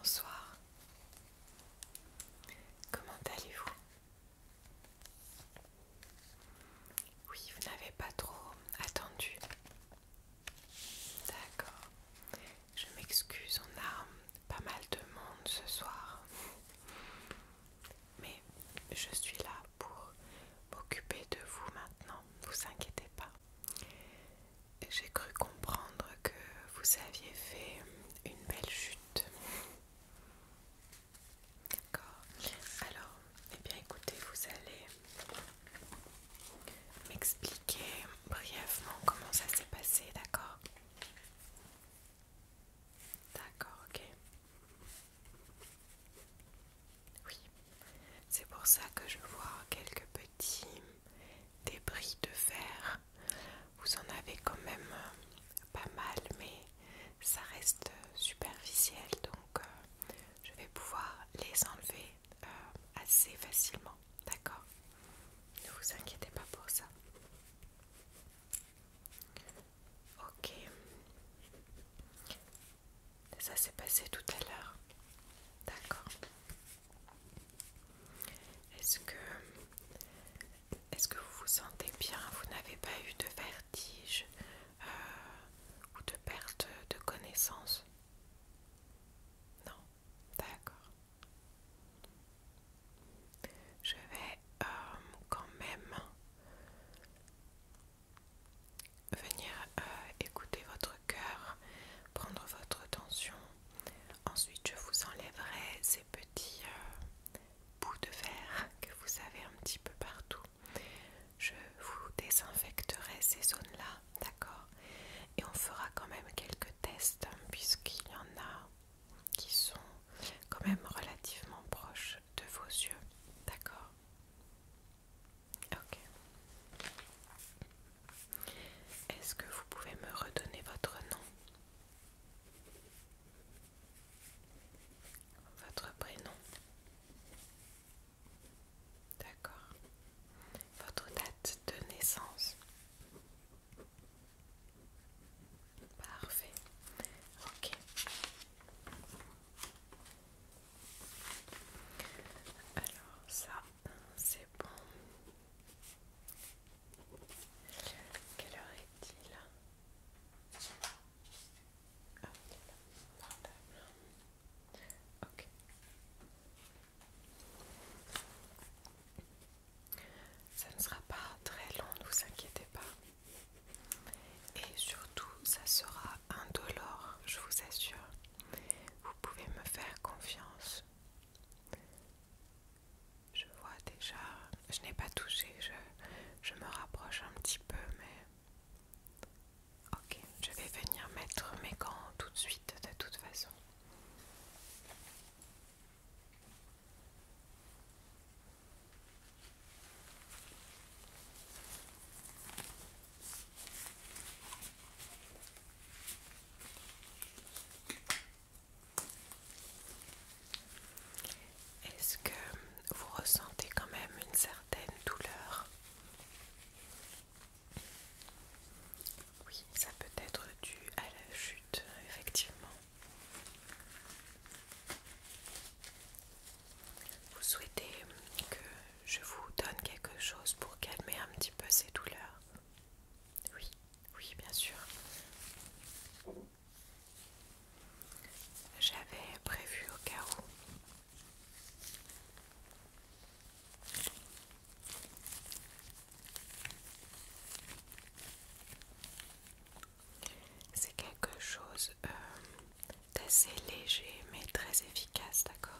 Bonsoir. Comment allez-vous Oui, vous n'avez pas trop attendu. D'accord. Je m'excuse, on a pas mal de monde ce soir. Mais je suis là pour m'occuper de vous maintenant, ne vous inquiétez pas. J'ai cru comprendre que vous aviez fait une belle chute. D'accord. Alors, eh bien écoutez, vous allez m'expliquer brièvement comment ça s'est passé, d'accord D'accord, ok. Oui, c'est pour ça que je vois quelques petits débris de fer. Vous en avez quand même euh, pas mal, mais ça reste euh, superficiel, donc euh, je vais pouvoir les enlever euh, assez facilement, d'accord Ne vous inquiétez pas pour ça. Ok. Ça s'est passé tout à l'heure. D'accord. Est-ce que est-ce que vous vous sentez bien Vous n'avez pas eu de vertige euh, ou de perte de connaissance Non, d'accord. Je vais euh, quand même venir euh, écouter votre cœur, prendre votre tension. Ensuite, je vous enlèverai ces petits bouts de verre que vous avez un petit peu partout. Je vous désinfecterai ces zones-là, d'accord Et on fera quand même quelques tests, hein, puisqu'il y en a qui sont quand même relativement proches de vos yeux, d'accord Ok. Est-ce que vous pouvez me redonner votre nom Votre prénom D'accord. Votre date de naissance. Parfait. Ok. Alors ça, c'est bon. Quelle heure est-il ah, Ok. Ça ne sera pas très long, ne vous inquiétez pas. Et surtout, ça sera indolore, je vous assure. Vous pouvez me faire confiance. Je vois déjà, je n'ai pas touché, je, je me rapproche un petit peu, mais Ok, je vais venir mettre mes gants tout de suite de toute façon. Est-ce que vous ressentez quand même une certaine douleurs. Oui, ça peut être dû à la chute, effectivement. Vous souhaitez que je vous donne quelque chose pour calmer un petit peu ces douleurs Oui, oui, bien sûr. J'avais prévu au cas où c'est quelque chose euh, d'assez léger mais très efficace, d'accord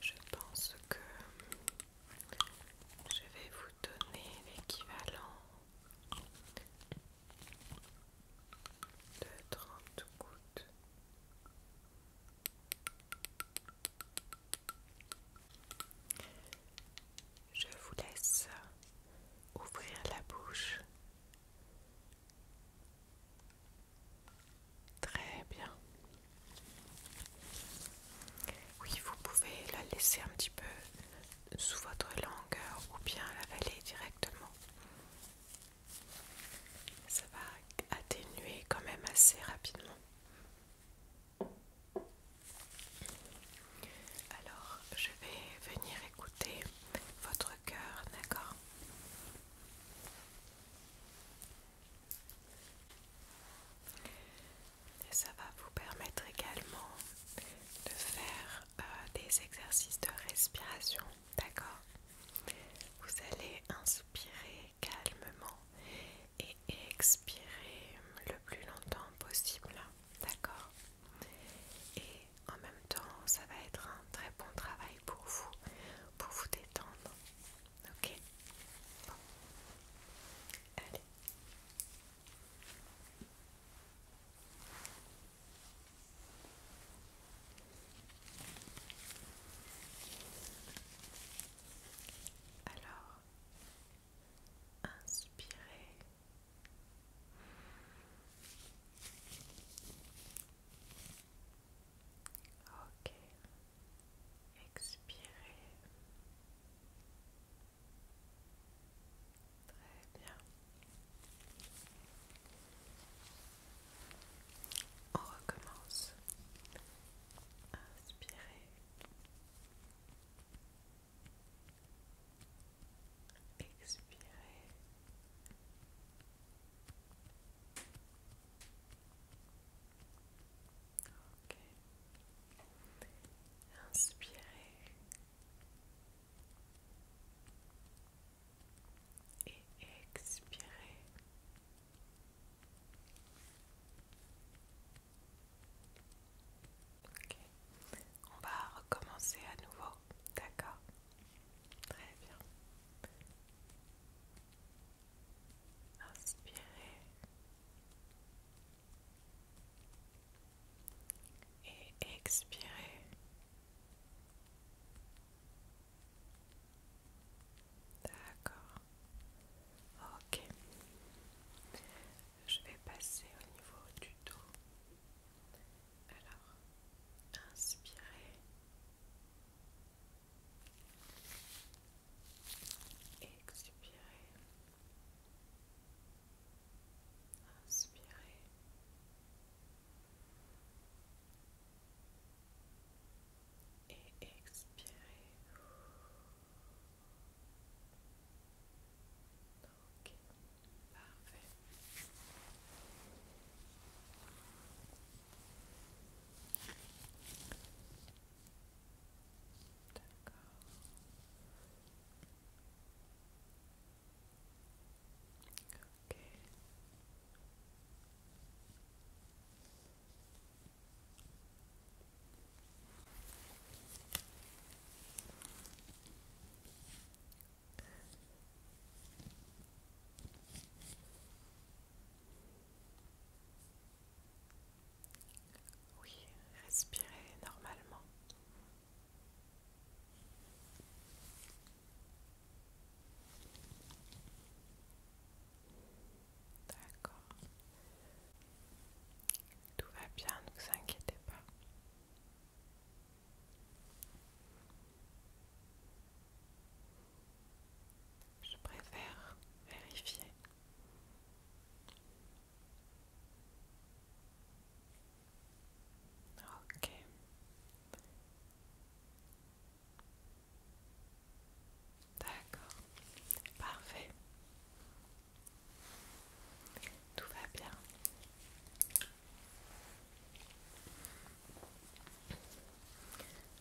je pense que je vais vous donner l'équivalent de 30 gouttes. Je vous laisse ouvrir la bouche. Très bien. Oui, vous pouvez la laisser un petit peu sous votre langue ou bien l'avaler directement. Ça va atténuer quand même assez rapidement. Alors, je vais venir écouter votre cœur, d'accord Et ça va vous permettre également de faire euh, des exercices de respiration, d'accord Vous allez inspirer calmement et expirer le plus longtemps possible, d'accord Et en même temps, ça va être un très bon travail pour vous, pour vous détendre, ok bon. Allez. Alors, inspirez. Ok. Expirez. Très bien. On recommence. Inspirez. Expirez. Ok. Inspirez et expirez. Ok, on va recommencer à nouveau, d'accord Très bien. Inspirez et expirez. D'accord. Ok. Je vais passer au niveau du dos. Alors, inspirez. expirer Inspirez. Et expirez. Ok, parfait. D'accord. Oui, respirez normalement. D'accord. Tout va bien, ne vous inquiétez pas. Je préfère vérifier. Ok. D'accord. Parfait. Tout va bien.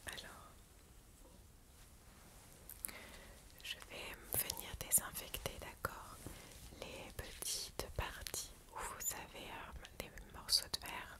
Alors, je vais venir désinfecter, d'accord les petites parties où vous avez euh, des morceaux de verre.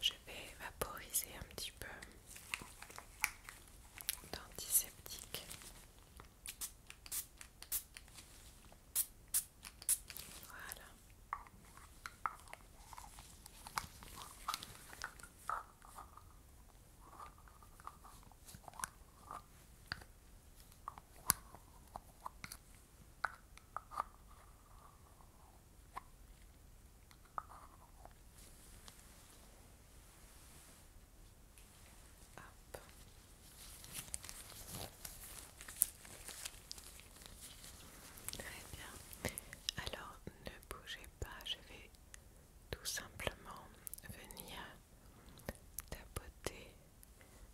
Je vais vaporiser un petit peu d'antiseptique. Voilà. Très bien. Alors ne bougez pas, je vais tout simplement venir tapoter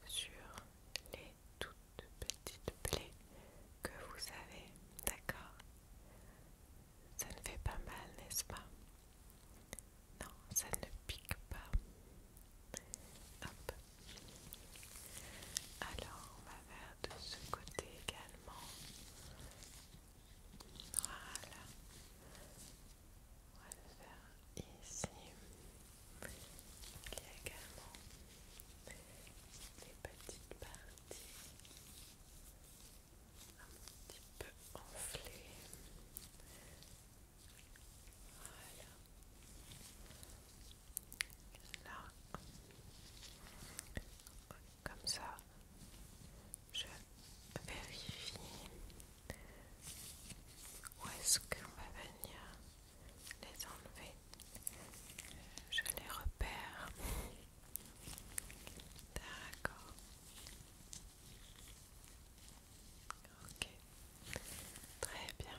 sur les toutes petites plaies que vous avez, d'accord Ça ne fait pas mal, n'est-ce pas Non, ça ne pique pas. Hop. Alors, on va faire de ce côté également. Voilà. On va le faire ici. Il y a également des petites parties un petit peu enflées. Voilà. Là, comme ça, je vérifie où est-ce qu'on va venir les enlever. Je les repère. D'accord. Ok. Très bien.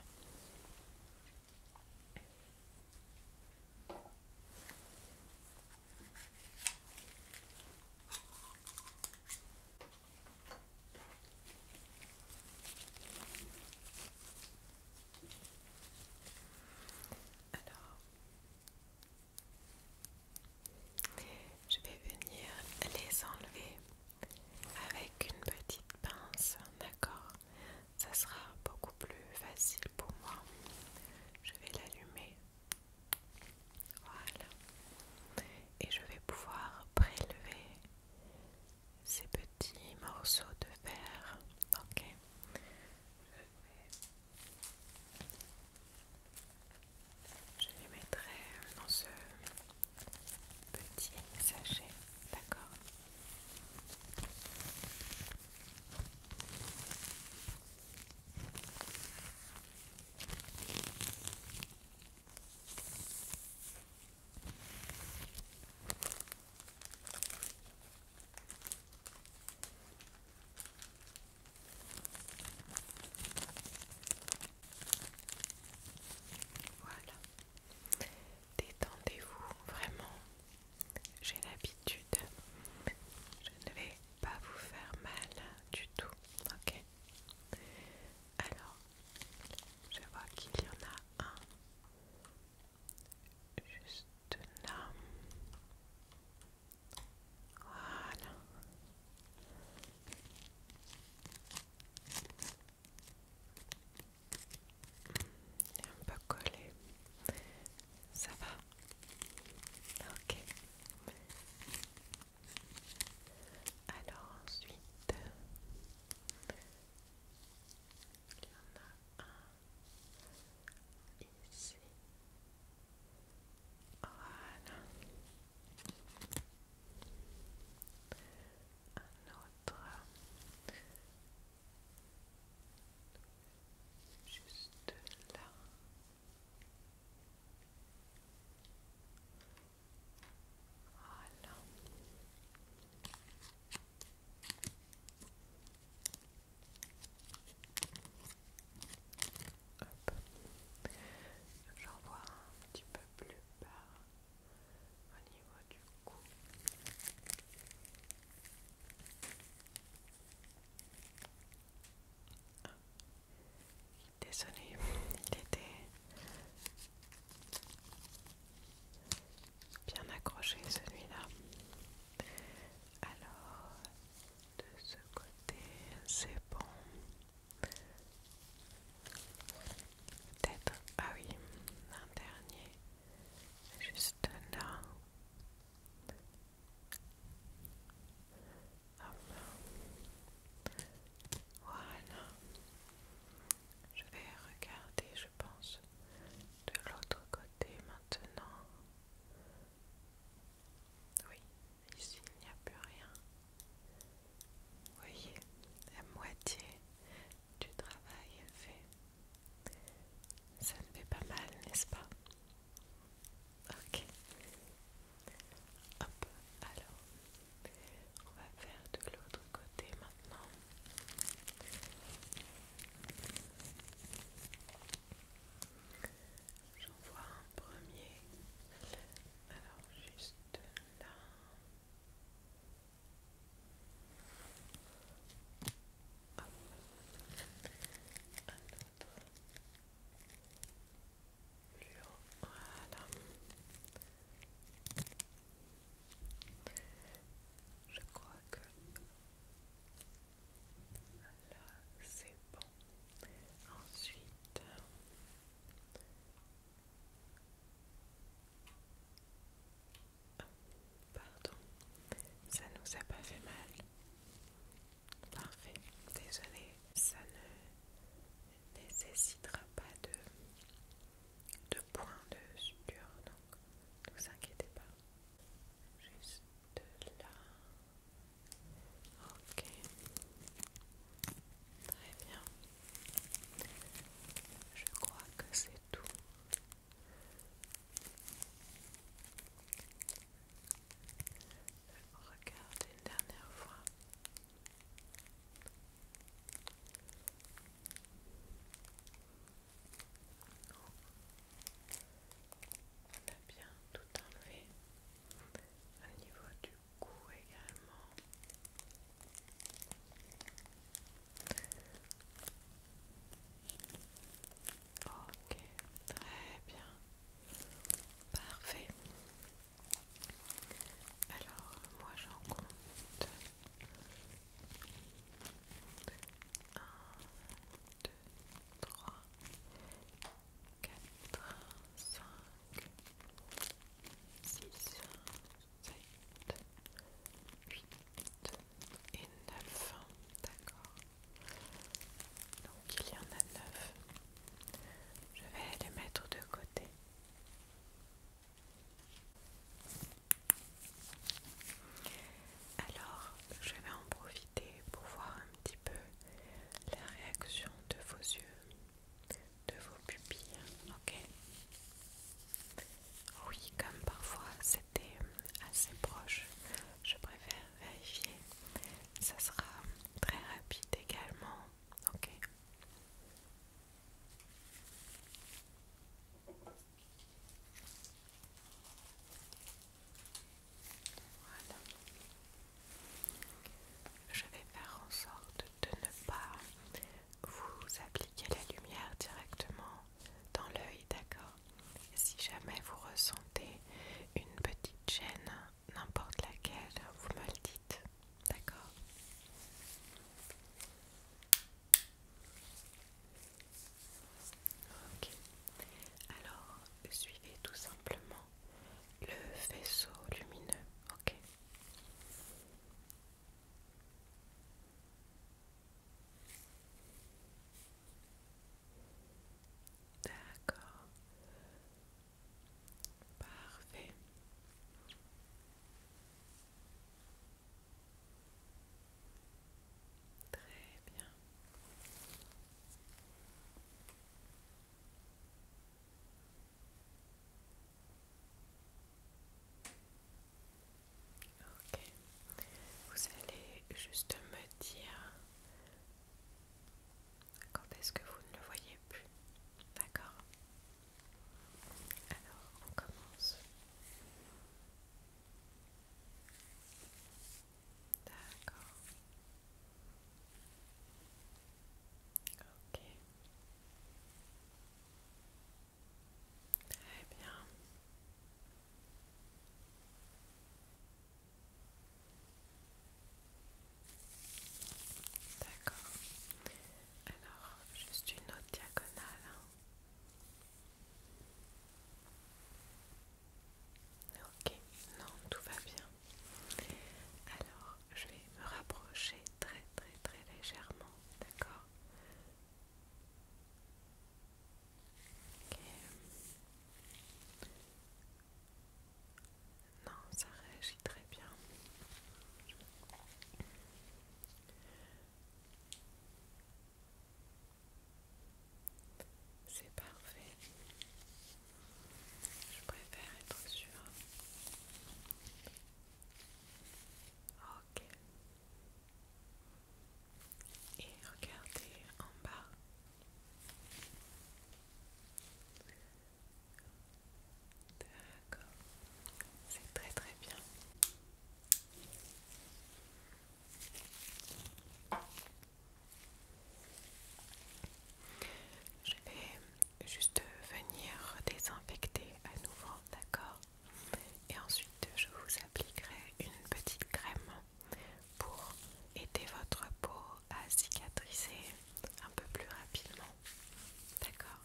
Alors, je vais venir les enlever avec une petite pince, d'accord Ça sera beaucoup plus facile pour moi. Je vais l'allumer. Voilà. Et je vais pouvoir prélever ces petits morceaux de verre. Ok. Je, les mettrai dans ce petit sachet. D'accord. Voilà. Détendez-vous vraiment. J'ai l'habitude. Je ne vais pas vous faire mal du tout. Ok. Alors, je vois qu'il y en a un juste là. Voilà. Il un peu collé. Ça va Ok. Alors ensuite, il y en a un ici. Voilà. Un autre. Juste là. J'en vois un petit peu plus bas au niveau du cou. Désolée, il était bien accroché celui-là. Alors, de ce côté, c'est bon. Peut-être, ah oui, un dernier, juste là. Hop. Voilà. Je vais regarder, je pense, de l'autre côté maintenant. Oui, ici il n'y a plus rien. Vous voyez, la moitié du travail est fait. Ça ne fait pas mal, n'est-ce pas Ok. Hop, alors, on va faire de l'autre côté maintenant. J'en vois un premier. Alors juste là. Voilà. Je crois que là c'est bon. Ensuite, pardon, ça nous a pas fait mal. Parfait, désolé, ça ne nécessitera pas de, de point de suture, donc ne vous inquiétez pas. Juste là. Ok. Très bien. Je crois que c'est tout. Regardez une dernière fois. On a bien tout enlevé au niveau du cou également. Ok, très bien. Parfait. Alors, moi j'en compte 1, 2, 3, 4, 5, 6, 7, 8 et 9. D'accord. Donc il y en a 9. Je vais les mettre de côté. Alors, je vais en profiter pour voir un petit peu la réaction de vos yeux, de vos pupilles, ok Oui, comme parfois c'était assez proche, je préfère vérifier. Ça sera très rapide également ok je vais faire en sorte de ne pas vous appliquer la lumière directement dans l'œil d'accord si jamais vous ressentez une petite chaîne n'importe laquelle, vous me le dites, d'accord Ok, alors suivez tout simplement le faisceau lumineux, ok D'accord. Parfait. Très bien. Ok. Vous allez juste me dire quand est-ce que vous ne le voyez plus. D'accord Alors, on commence. D'accord. Ok. Très bien. D'accord. Alors, juste une autre diagonale. Hein. Ok, non, tout va bien. Alors, je vais me rapprocher très très très légèrement, d'accord Ok. Non, ça réagit très bien. C'est parfait. Je préfère être sûre. Ok. Et regardez en bas. D'accord, c'est très très bien. Je vais juste venir désinfecter à nouveau, d'accord Et ensuite, je vous appliquerai une petite crème pour aider votre peau à cicatriser un peu plus rapidement. D'accord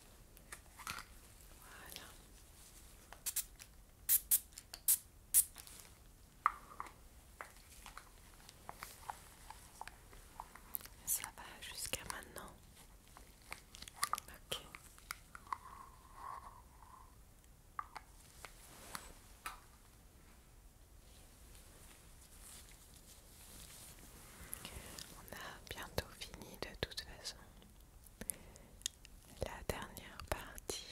voilà. Ça va jusqu'à maintenant. Ok. On a bientôt fini de toute façon. La dernière partie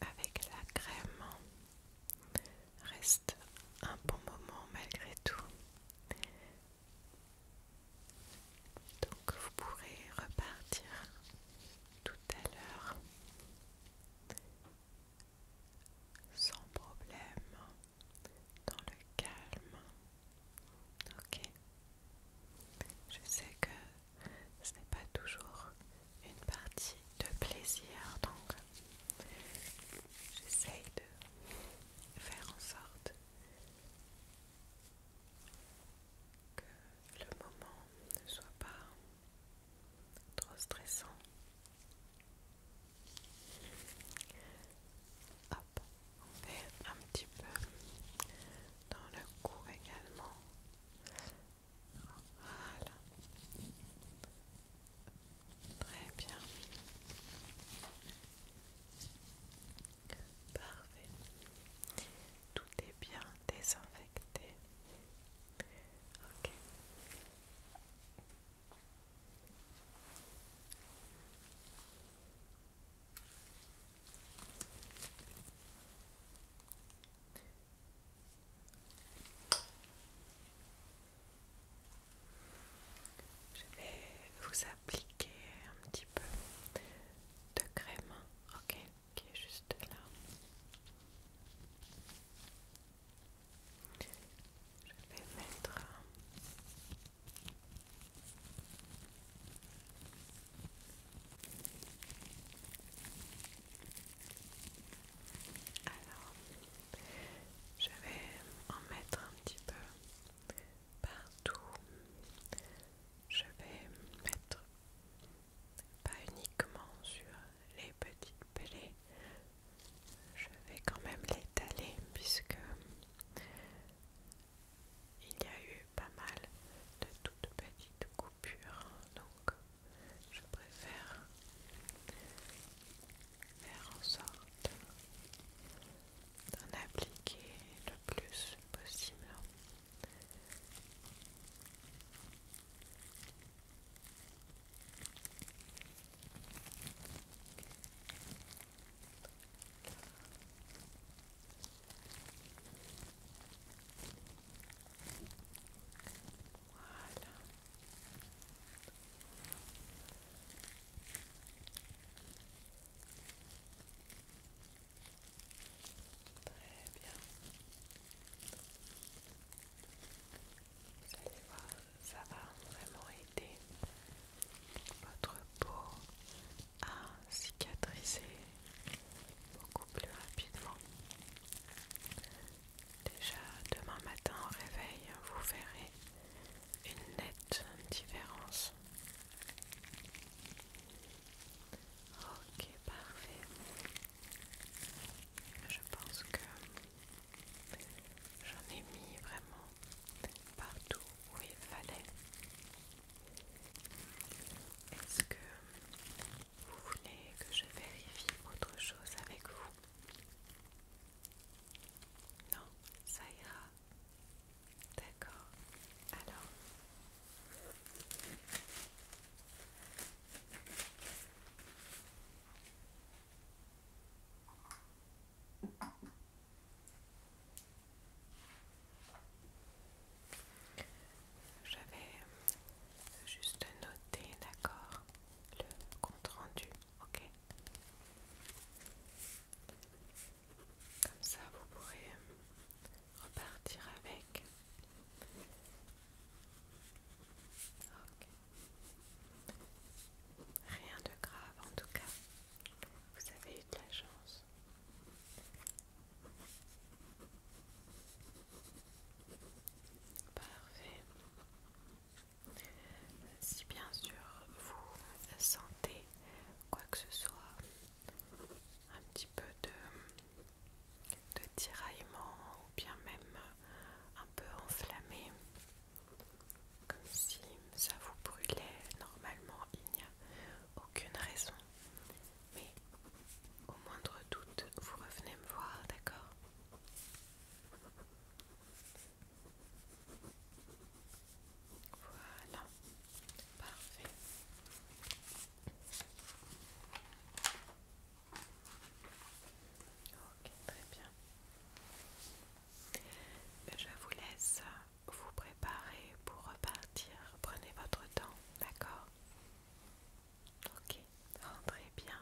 avec la crème reste un bon moment malgré tout. Donc vous pourrez repartir tout à l'heure sans problème dans le calme. Ok. Je sais que ce n'est pas toujours une partie de plaisir, donc j'essaye de faire en sorte que le moment ne soit pas trop stressant. Hop, on fait un petit peu dans le cou également. Voilà. Très bien. Parfait. Tout est bien désinfecté. Ok. Je vais vous appliquer un petit peu de crème, ok, qui est juste là. Je vais mettre alors je vais en mettre un petit peu partout. Je vais mettre pas uniquement sur les petites pelées. Je vais quand même l'étaler puisque il y a eu pas mal de toutes petites coupures, donc je préfère faire en sorte d'en appliquer le plus possible. Voilà. Très bien. Vous allez voir, ça va vraiment aider votre peau à cicatriser beaucoup plus rapidement. Déjà demain matin au réveil, vous verrez une nette différence. Ok, parfait. Je pense que J'en ai mis vraiment partout où il fallait. Est-ce que vous voulez que je vérifie autre chose avec vous Non, ça ira. D'accord. Alors. Je vais juste noter, d'accord, le compte rendu, ok Comme ça, vous pourrez repartir avec. Rien de grave en tout cas. Vous avez eu de la chance. Parfait. Si bien sûr vous sentez quoi que ce soit, un petit peu de, de tiraillement ou bien même un peu enflammé, comme si ça vous brûlait. Normalement, il n'y a aucune raison. Mais au moindre doute, vous revenez me voir, d'accord Voilà, parfait. Ok, très bien. Je vous laisse vous préparer pour repartir. Prenez votre temps, d'accord Ok, rentrez bien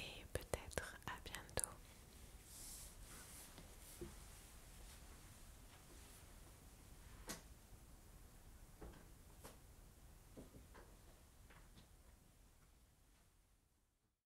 et peut-être à bientôt.